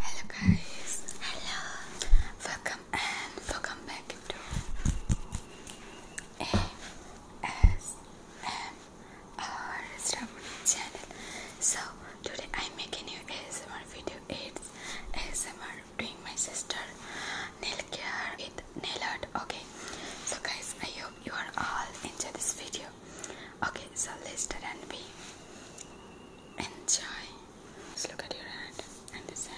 Hello guys, hello, welcome and welcome back to ASMR channel. So today I make a new ASMR video. It's ASMR doing my sister nail care with nail art. Okay, so guys, I hope you are all enjoy this video. Okay, so let's start and be enjoy. Just look at your hand and this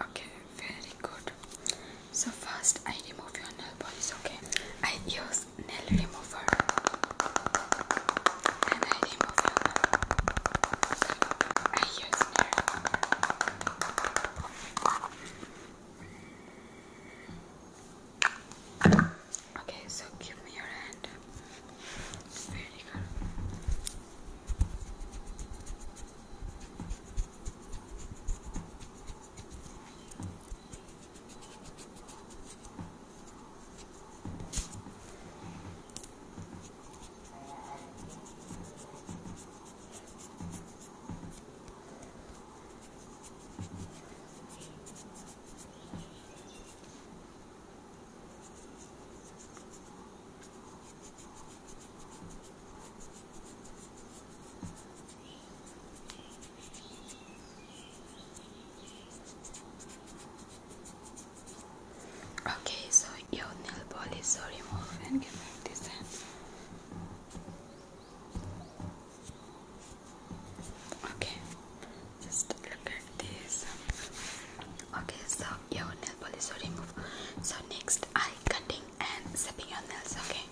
Okay, very good. So first I remove your nail polish, okay? I use nail remover and I remove I use nail Okay, so give me your hand. Very good. Okay, so your nail polish so remove and give back this hand. Okay, just look at this. Okay, so your nail polish is removed. So next, I cutting and zapping your nails. Okay.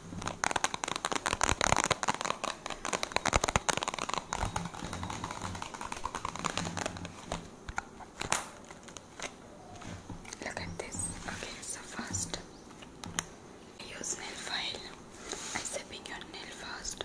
Look at this. Okay, so first, use nail file. I zapping your nail first.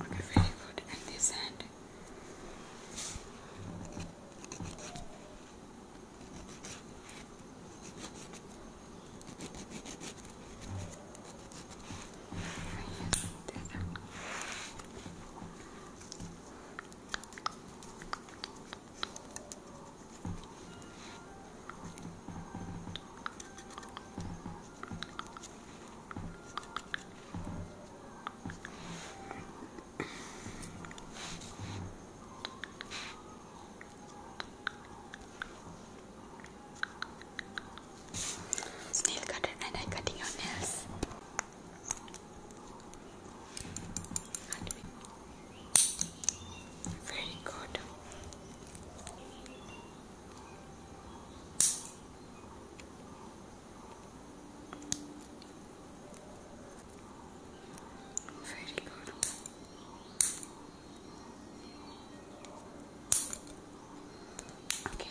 Okay, very good. And this hand. Okay, Snail cutter and I cutting your nails. Very good. Very good. Okay.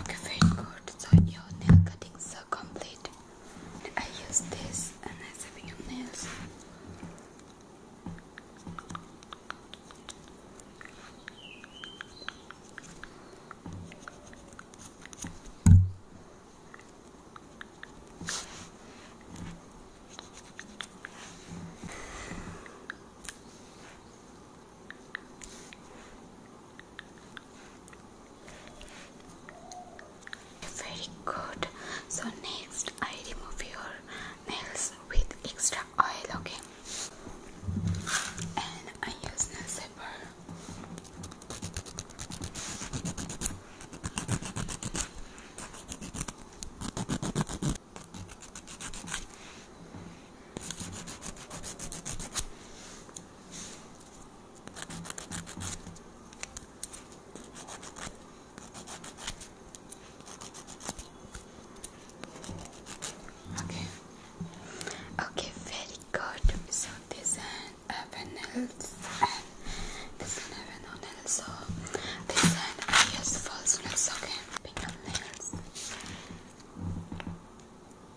Okay, very good. So your nail cuttings are complete. I use this and I save your nails. Very good. So next I remove your nails with extra oil, okay? And I use nail zipper. Okay. Okay, very good. So this and vanilla and this and vanilla. So this and uh, I false nails. Okay, pink nails.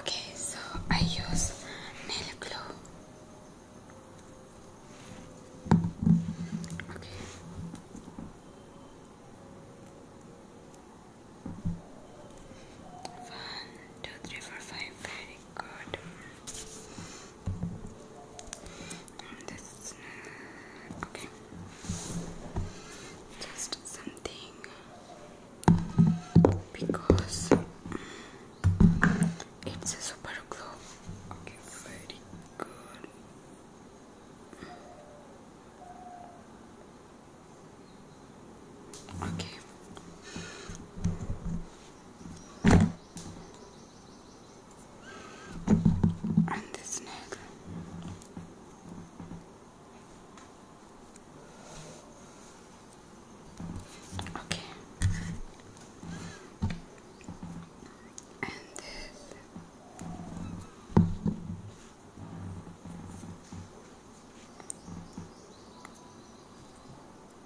Okay, so I use nail glue. Okay. One, two, three, four, five, very okay, just something because it's a super glue. Okay and this neck. Okay.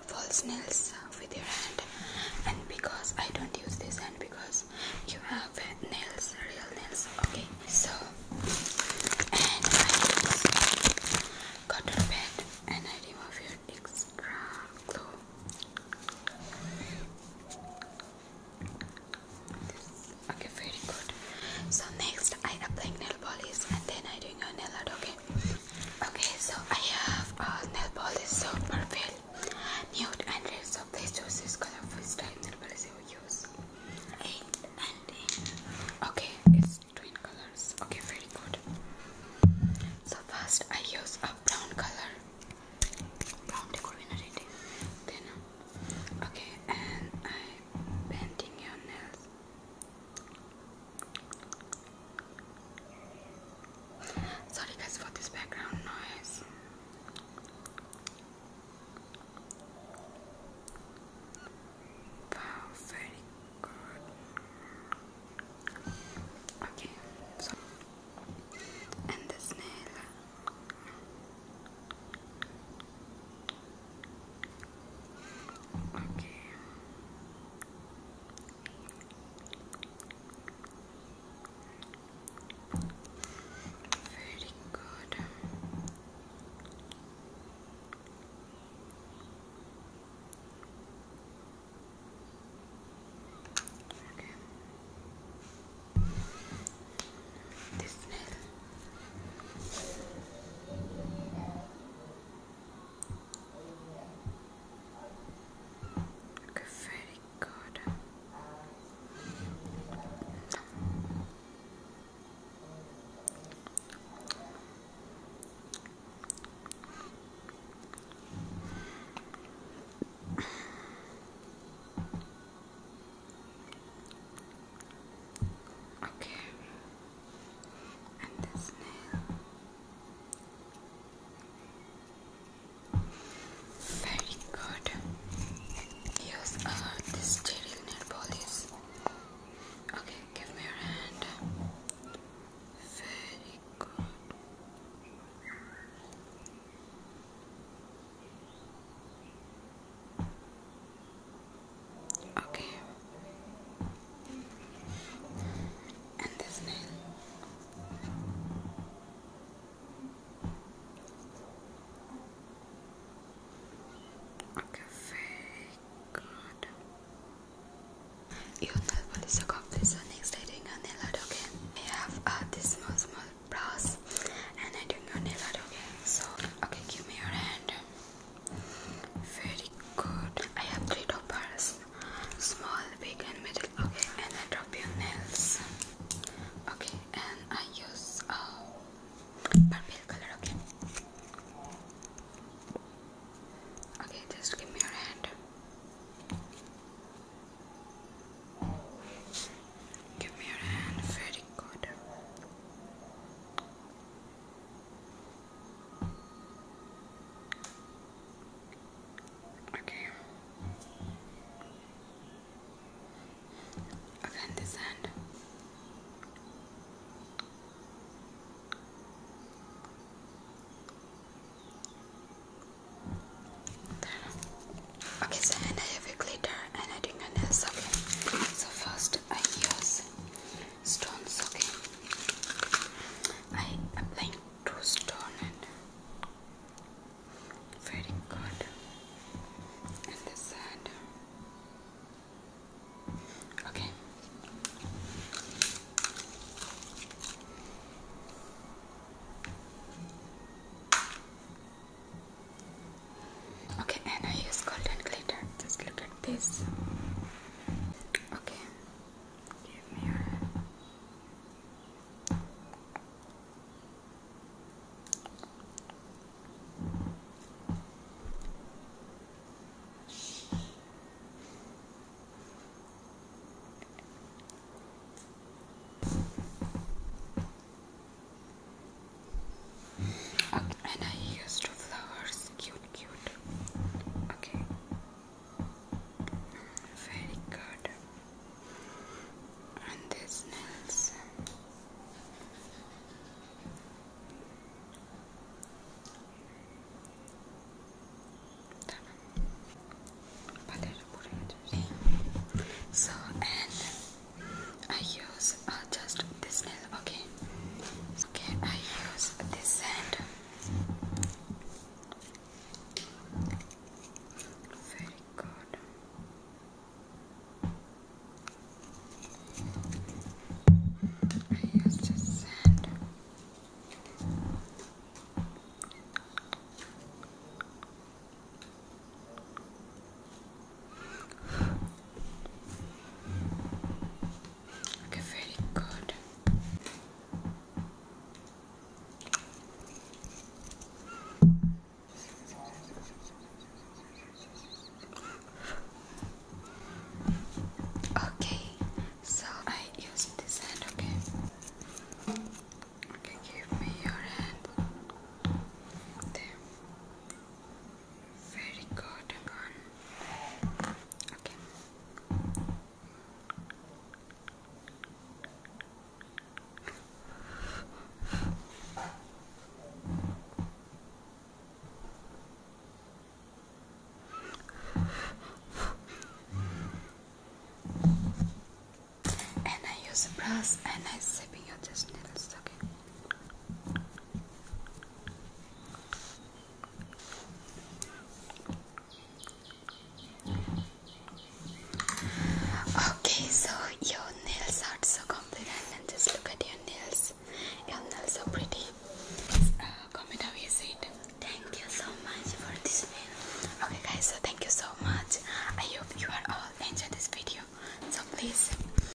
false nails with your hand and because I don't use this hand because you have nails, real nails, okay? So, and I just got to bed and I remove your extra glue. Okay, very good. So next I apply nail polish and then I doing a nail art, okay? Okay, so I have a uh, nail polish soap purple, nude and red. So please choose this color which nail polish you use. Okay, it's twin colors. Okay, very good. So first I use a brown color. Brown decor reading. Then uh, okay, and I'm your nails. Sorry guys for this background noise. Wow, very good. Okay, so and the snail. Okay. Very good. This Okay, very good. Okay, and this nail. Very good. Here's uh, sterile nail Okay, give me your hand. Very good. Okay, and this nail. Okay, very good. You nail polish a complete so next I doing your nail art, I have uh, this small small brass and I doing your nail art, So, okay, give me your hand. Very good. I have three dippers, Small, big and middle. Okay, and I drop your nails. Okay, and I use a uh, purple color, okay? Okay, just give me your hand. Give me your hand. Very good. Okay. Again, this hand. Okay, so I have a glitter and I do my nails. Okay, so first I use stones okay I applying two stone very good and this side okay Okay, and I use golden glitter. Just look at this. Okay, give me your And I used flowers, cute cute. Okay. Very good. And these nails. So and I use uh, just this nail. Okay. Okay, I use this hand. Very good. I use this hand. Okay, very good. Okay, so I use this hand, okay? Okay, give me your hand. There very good one. Okay. And I use a brush and I sip your just needles, Okay, so your nails are so confident and just look at your nails. Your nails are pretty. Uh, comment how you see Thank you so much for this video. Okay, guys, so thank you so much. I hope you are all enjoying this video. So please